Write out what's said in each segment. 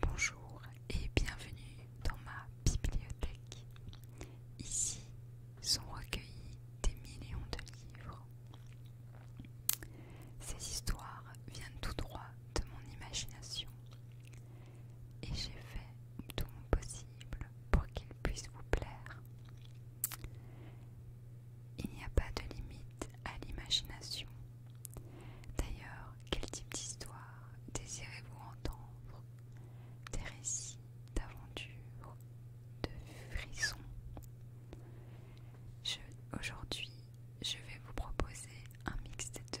Bonjour et bienvenue dans ma bibliothèque. Ici sont recueillis des millions de livres. Ces histoires viennent tout droit de mon imagination et j'ai fait tout mon possible pour qu'elles puissent vous plaire. Il n'y a pas de limite à l'imagination. D'ailleurs, quel type d'histoire désirez-vous entendre Des récits d'aventures, de frissons Aujourd'hui, je vais vous proposer un mix des deux.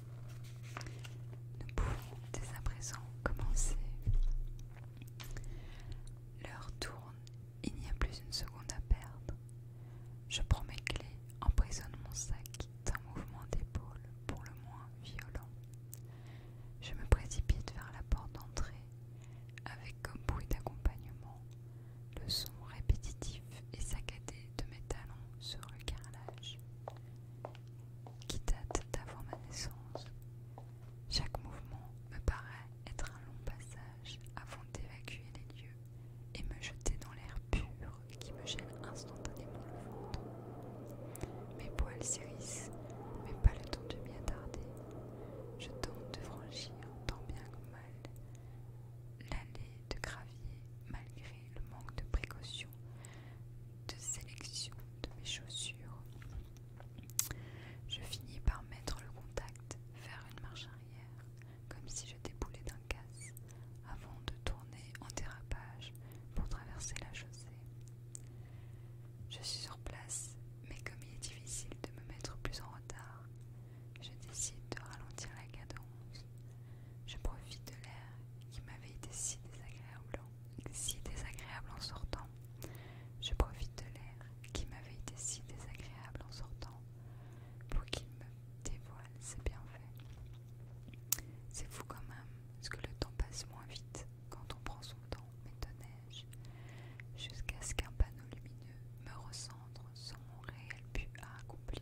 Nous pouvons dès à présent commencer. L'heure tourne, il n'y a plus une seconde à perdre. Je prends mes clés, emprisonne mon sac d'un mouvement d'épaule pour le moins violent. Je me précipite vers la porte d'entrée avec comme bruit d'accompagnement le son répétitif et saccadé de mes talons sur le carrelage qui date d'avant ma naissance. Chaque mouvement me paraît être un long passage avant d'évacuer les lieux et me jeter dans l'air pur qui me gêne instantanément le ventre. Mes poils s'érissent, mais pas le temps de m'y attarder. Je tente de franchir tant bien que mal l'allée de gravier malgré le manque de précaution de sélection de mes chaussures. Je finis par mettre le contact vers une marche arrière, comme si je déboulais d'un casse, avant de tourner en dérapage pour traverser la chaussée. Je suis sur place, mais comme il est difficile de me mettre plus en retard, je décide de ralentir la cadence je profite de l'air qui m'avait été si désagréable, en sortant. Je profite de l'air qui m'avait été si désagréable en sortant pour qu'il me dévoile ses bienfaits. C'est fou quand même, ce que le temps passe moins vite quand on prend son temps, m'étonnais-je, jusqu'à ce qu'un panneau lumineux me recentre sans mon réel but à accomplir.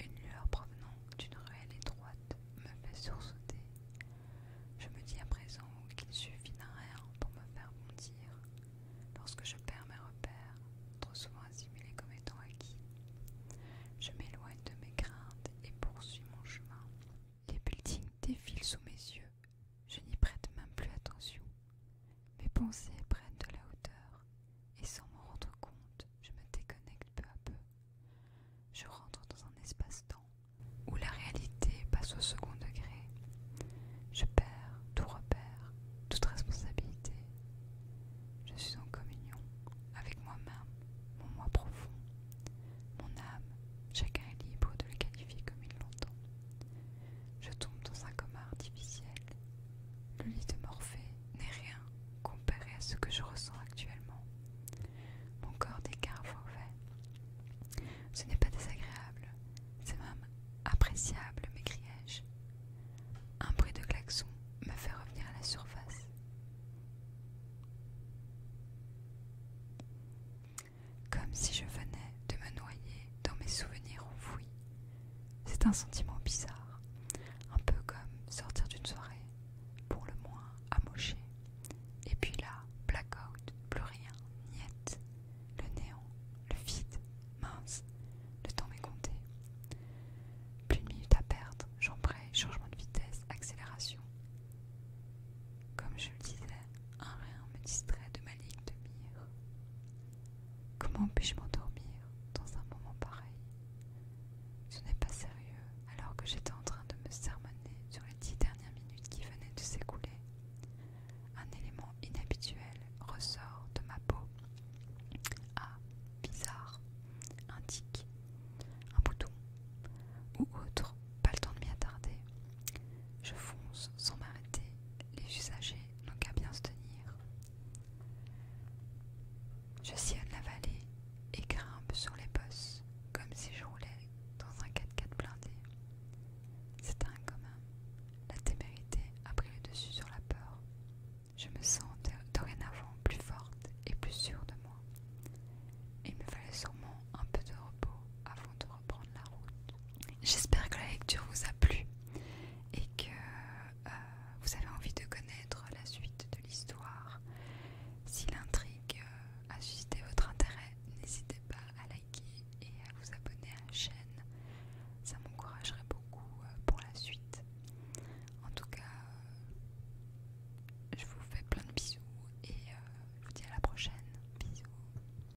Une lueur provenant d'une ruelle étroite me fait sursauter. Je me dis à présent qu'il suffit d'un rien pour me faire bondir, lorsque je perds mes repères, trop souvent assimilés comme étant acquis. Je m'éloigne de mes craintes et poursuis mon chemin. Les buildings défilent sous mes yeux, je n'y prête même plus attention. Mes pensées prennent de la hauteur, et sans m'en rendre compte, je me déconnecte peu à peu. Je rentre dans un espace-temps où la réalité passe au second degré. Je perds tout repère, toute responsabilité. Je suis en communion avec moi-même, mon moi profond, mon âme. Chacun est libre de le qualifier comme il l'entend. Je tombe dans un coma artificiel. Le lit de Morphée n'est rien comparé à ce que je ressens actuellement. Mon corps au fait Ce n'est pas désagréable, c'est même appréciable, m'écriai-je. Un bruit de klaxon me fait revenir à la surface. Comme si je venais de me noyer dans mes souvenirs enfouis, c'est un sentiment bizarre, un peu comme sortir d'une soirée, pour le moins amoché. Et puis là, blackout, plus rien, niette, le néant, le vide, mince, le temps m'est compté. Plus de minutes à perdre, J'en j'embraye, changement de vitesse, accélération. Comme je le disais, un rien me distrait de ma ligne de mire. Comment puis-je m'endormir dans un moment pareil Ce n'est pas sérieux, alors que j'étais en train de me sermonner sur les dix dernières minutes qui venaient de s'écouler. Un élément inhabituel ressort de ma peau. Ah, bizarre, un un bouton, ou autre, pas le temps de m'y attarder. Je fonce sans m'arrêter, les usagers donc à bien se tenir. Je sillonne la vallée et grimpe sur les bosses comme si je roulais dans un 4x4 blindé. C'est un commun La témérité a pris le dessus sur la peur. Je me sens dorénavant plus forte et plus sûre de moi. Il me fallait sûrement un peu de repos avant de prendre la route. J'espère que la lecture vous a plu et que euh, vous avez envie de connaître la suite de l'histoire. Si l'intrigue euh, a suscité votre intérêt, n'hésitez pas à liker et à vous abonner à la chaîne. Ça m'encouragerait beaucoup euh, pour la suite. En tout cas, je vous fais plein de bisous et je vous dis à la prochaine. Bisous.